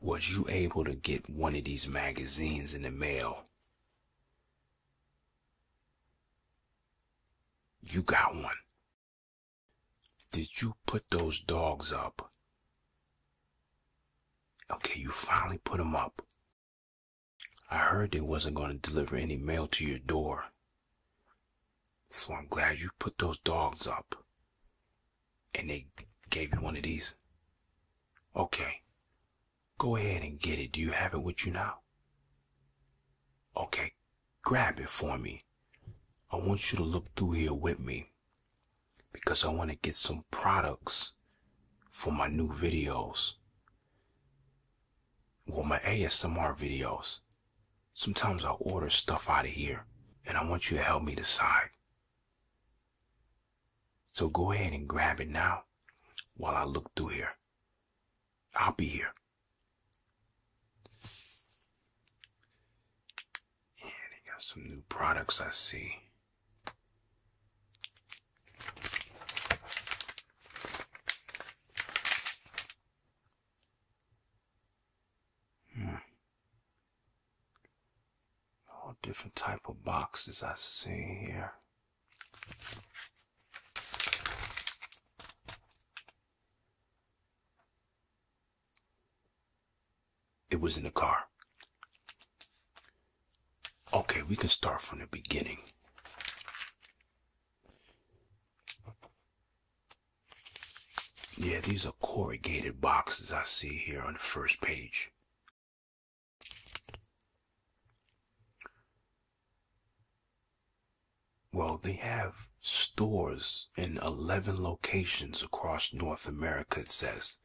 Was you able to get one of these magazines in the mail? You got one. Did you put those dogs up? Okay, you finally put them up. I heard they wasn't going to deliver any mail to your door. So I'm glad you put those dogs up and they gave you one of these. Okay. Go ahead and get it. Do you have it with you now? Okay. Grab it for me. I want you to look through here with me because I want to get some products for my new videos. Well, my ASMR videos. Sometimes I order stuff out of here, and I want you to help me decide. So go ahead and grab it now while I look through here. I'll be here. And they got some new products I see. Hmm all different type of boxes I see here. It was in the car. Okay, we can start from the beginning. Yeah, these are corrugated boxes I see here on the first page. Well, they have stores in 11 locations across North America, it says.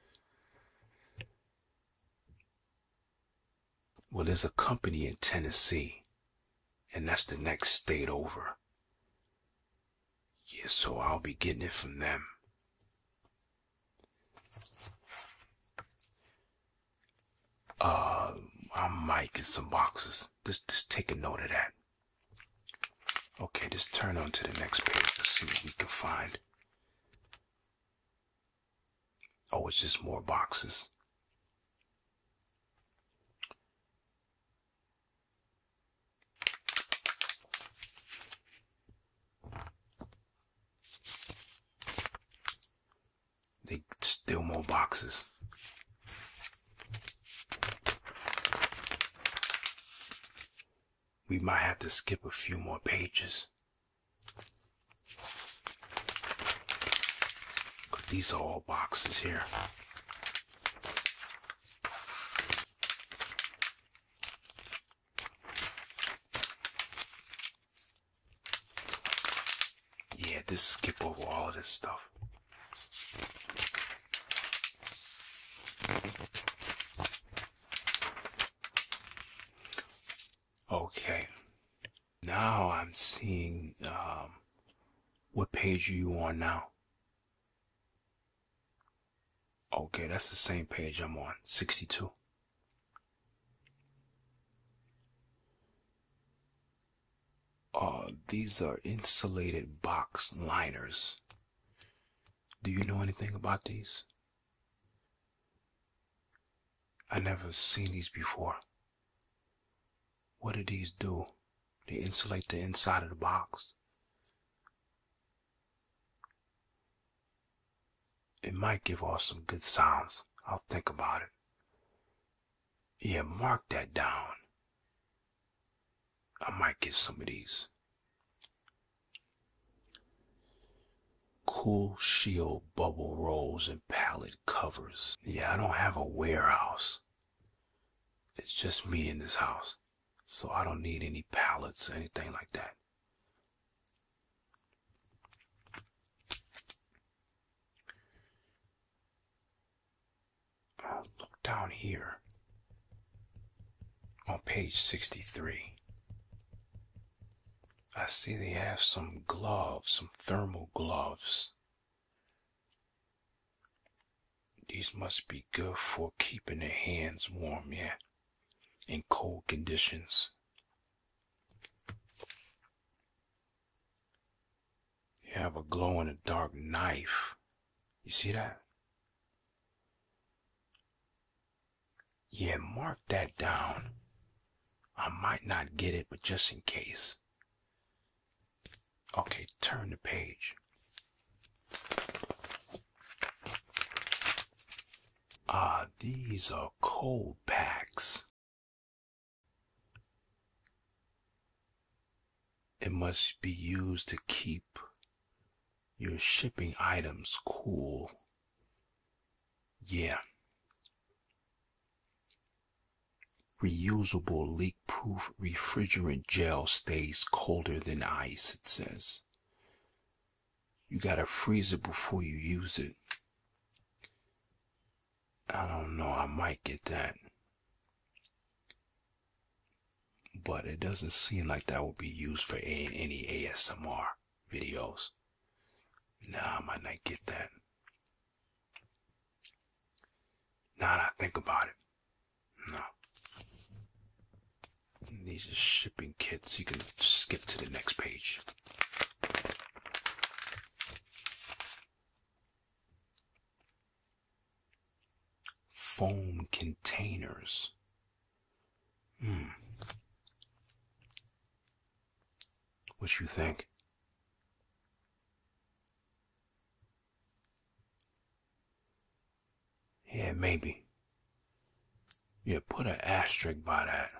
Well, there's a company in Tennessee, and that's the next state over. Yeah, so I'll be getting it from them. Uh, I might get some boxes. Just, just take a note of that. Okay, just turn on to the next page. let see what we can find. Oh, it's just more boxes. They still more boxes. We might have to skip a few more pages. These are all boxes here. Yeah, just skip over all of this stuff. Okay, now I'm seeing um, what page are you on now? Okay, that's the same page I'm on, 62. Uh, these are insulated box liners. Do you know anything about these? I never seen these before. What do these do? They insulate the inside of the box. It might give off some good sounds. I'll think about it. Yeah, mark that down. I might get some of these. Cool shield bubble rolls and pallet covers. Yeah, I don't have a warehouse. It's just me in this house. So I don't need any pallets, anything like that. Uh, look down here on page 63. I see they have some gloves, some thermal gloves. These must be good for keeping their hands warm, yeah, in cold conditions. You have a glow in the dark knife. You see that? Yeah, mark that down. I might not get it, but just in case. Okay, turn the page. Ah, these are cold packs. It must be used to keep your shipping items cool. Yeah. Reusable leak proof refrigerant gel stays colder than ice, it says. You gotta freeze it before you use it. I don't know, I might get that. But it doesn't seem like that would be used for any ASMR videos. Nah, I might not get that. Now that I think about it. No. These are shipping kits. You can skip to the next page. Foam containers. Hmm. What you think? Yeah, maybe. Yeah, put an asterisk by that.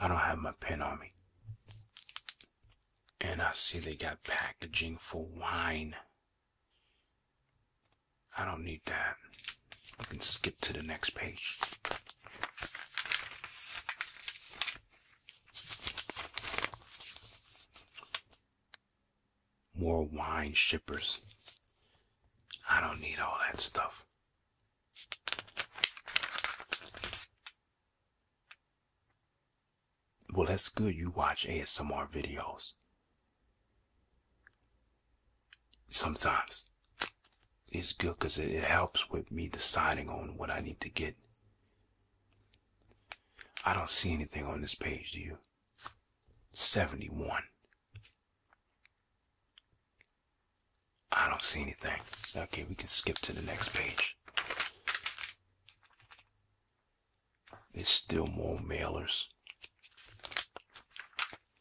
I don't have my pen on me. And I see they got packaging for wine. I don't need that. I can skip to the next page. More wine shippers. I don't need all that stuff. Well, that's good. You watch ASMR videos. Sometimes it's good because it, helps with me deciding on what I need to get. I don't see anything on this page, do you? 71. I don't see anything. Okay, we can skip to the next page. There's still more mailers.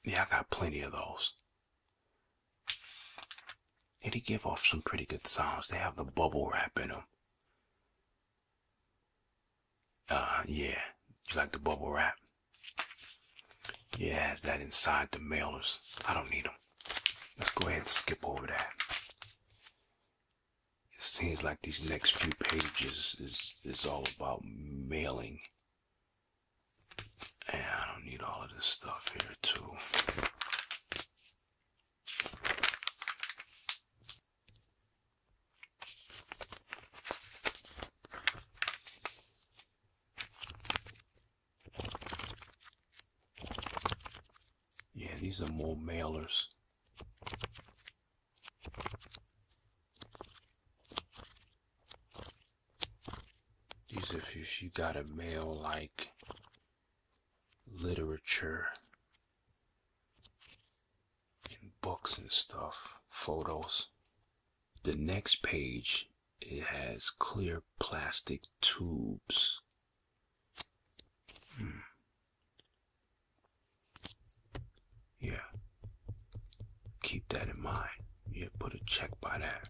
Yeah, I got plenty of those. And they give off some pretty good sounds. They have the bubble wrap in them. Uh, yeah. You like the bubble wrap? Yeah, it that inside the mailers. I don't need them. Let's go ahead and skip over that. It seems like these next few pages is, is all about mailing. And I don't need all of this stuff here, too. Yeah, these are more mailers. These if you, got a mail like literature books and stuff, photos. The next page, it has clear plastic tubes. Hmm. Yeah. Keep that in mind. Yeah, put a check by that.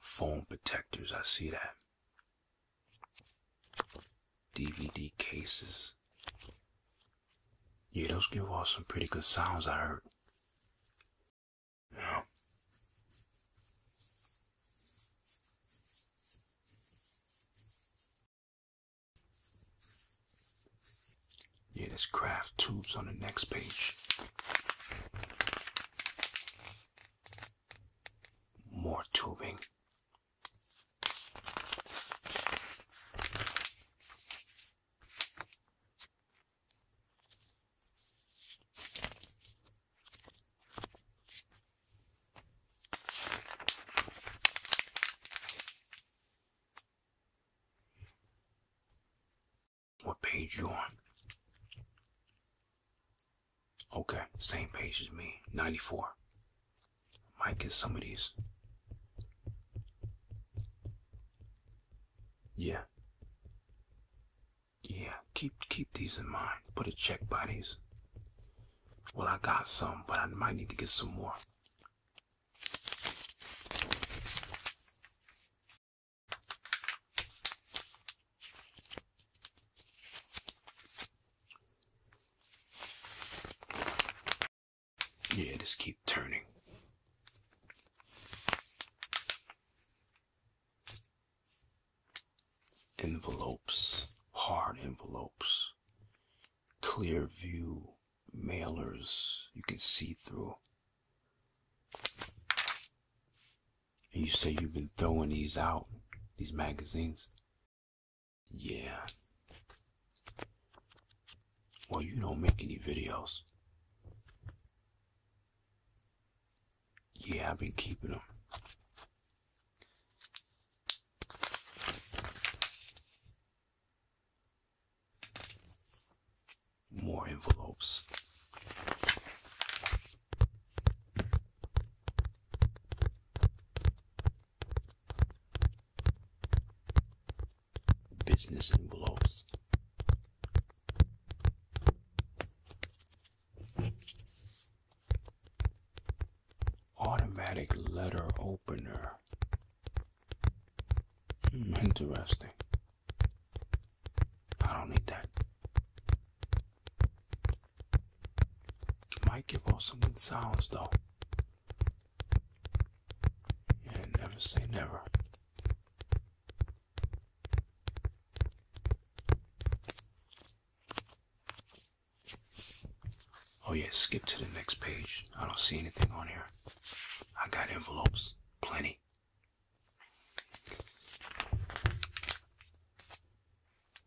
Phone protectors, I see that. DVD cases. Yeah, those give off some pretty good sounds, I heard. Yeah. Yeah, there's craft tubes on the next page more tubing. What page you on? Okay, same page as me. 94. Might get some of these. Yeah. Yeah, keep keep these in mind. Put a check by these. Well, I got some, but I might need to get some more. Yeah, just keep turning. Envelopes, hard envelopes, clear view mailers you can see through. And you say you've been throwing these out, these magazines. Yeah. Well, you don't make any videos. Yeah, I've been keeping them. More envelopes business envelopes. Automatic letter opener. Hmm, interesting. I don't need that might give off some good sounds though. Yeah, never say never. Oh yeah, skip to the next page. I don't see anything on here. I got envelopes, plenty.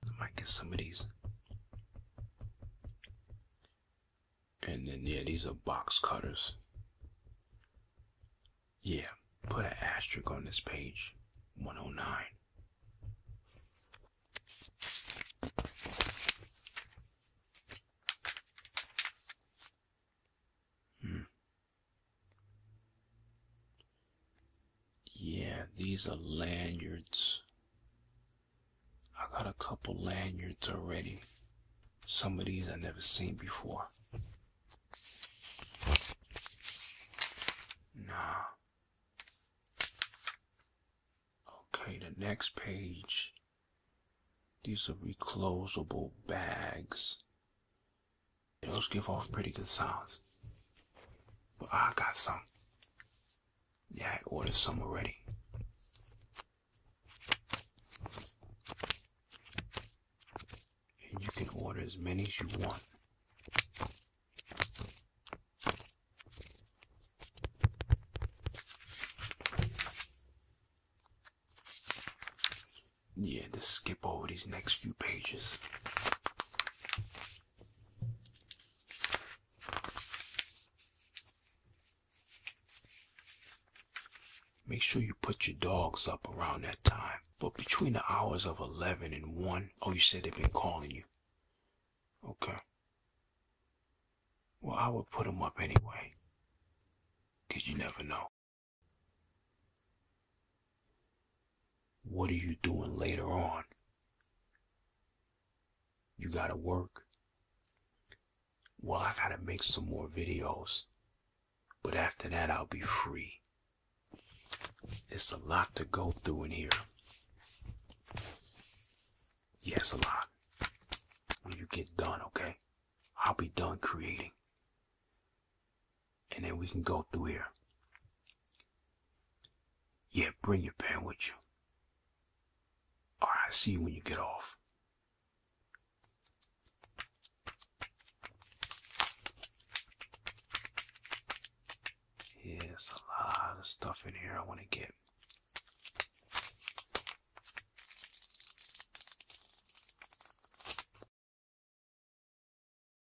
I might get some of these. And then, yeah, these are box cutters. Yeah, put an asterisk on this page 109. Hmm. Yeah, these are lanyards. I got a couple lanyards already. Some of these I never seen before. Nah. Okay, the next page. These are reclosable bags. Those give off pretty good sounds. But I got some. Yeah, I ordered some already. And you can order as many as you want. Yeah, just skip over these next few pages. Make sure you put your dogs up around that time. But between the hours of 11 and 1, oh, you said they've been calling you. Okay. Well, I would put them up anyway. Because you never know. What are you doing later on? You gotta work. Well, I gotta make some more videos. But after that, I'll be free. It's a lot to go through in here. Yes, a lot. When you get done, okay? I'll be done creating and then we can go through here. Yeah, bring your pen with you. Alright, see you when you get off. Yeah, a lot of stuff in here I want to get.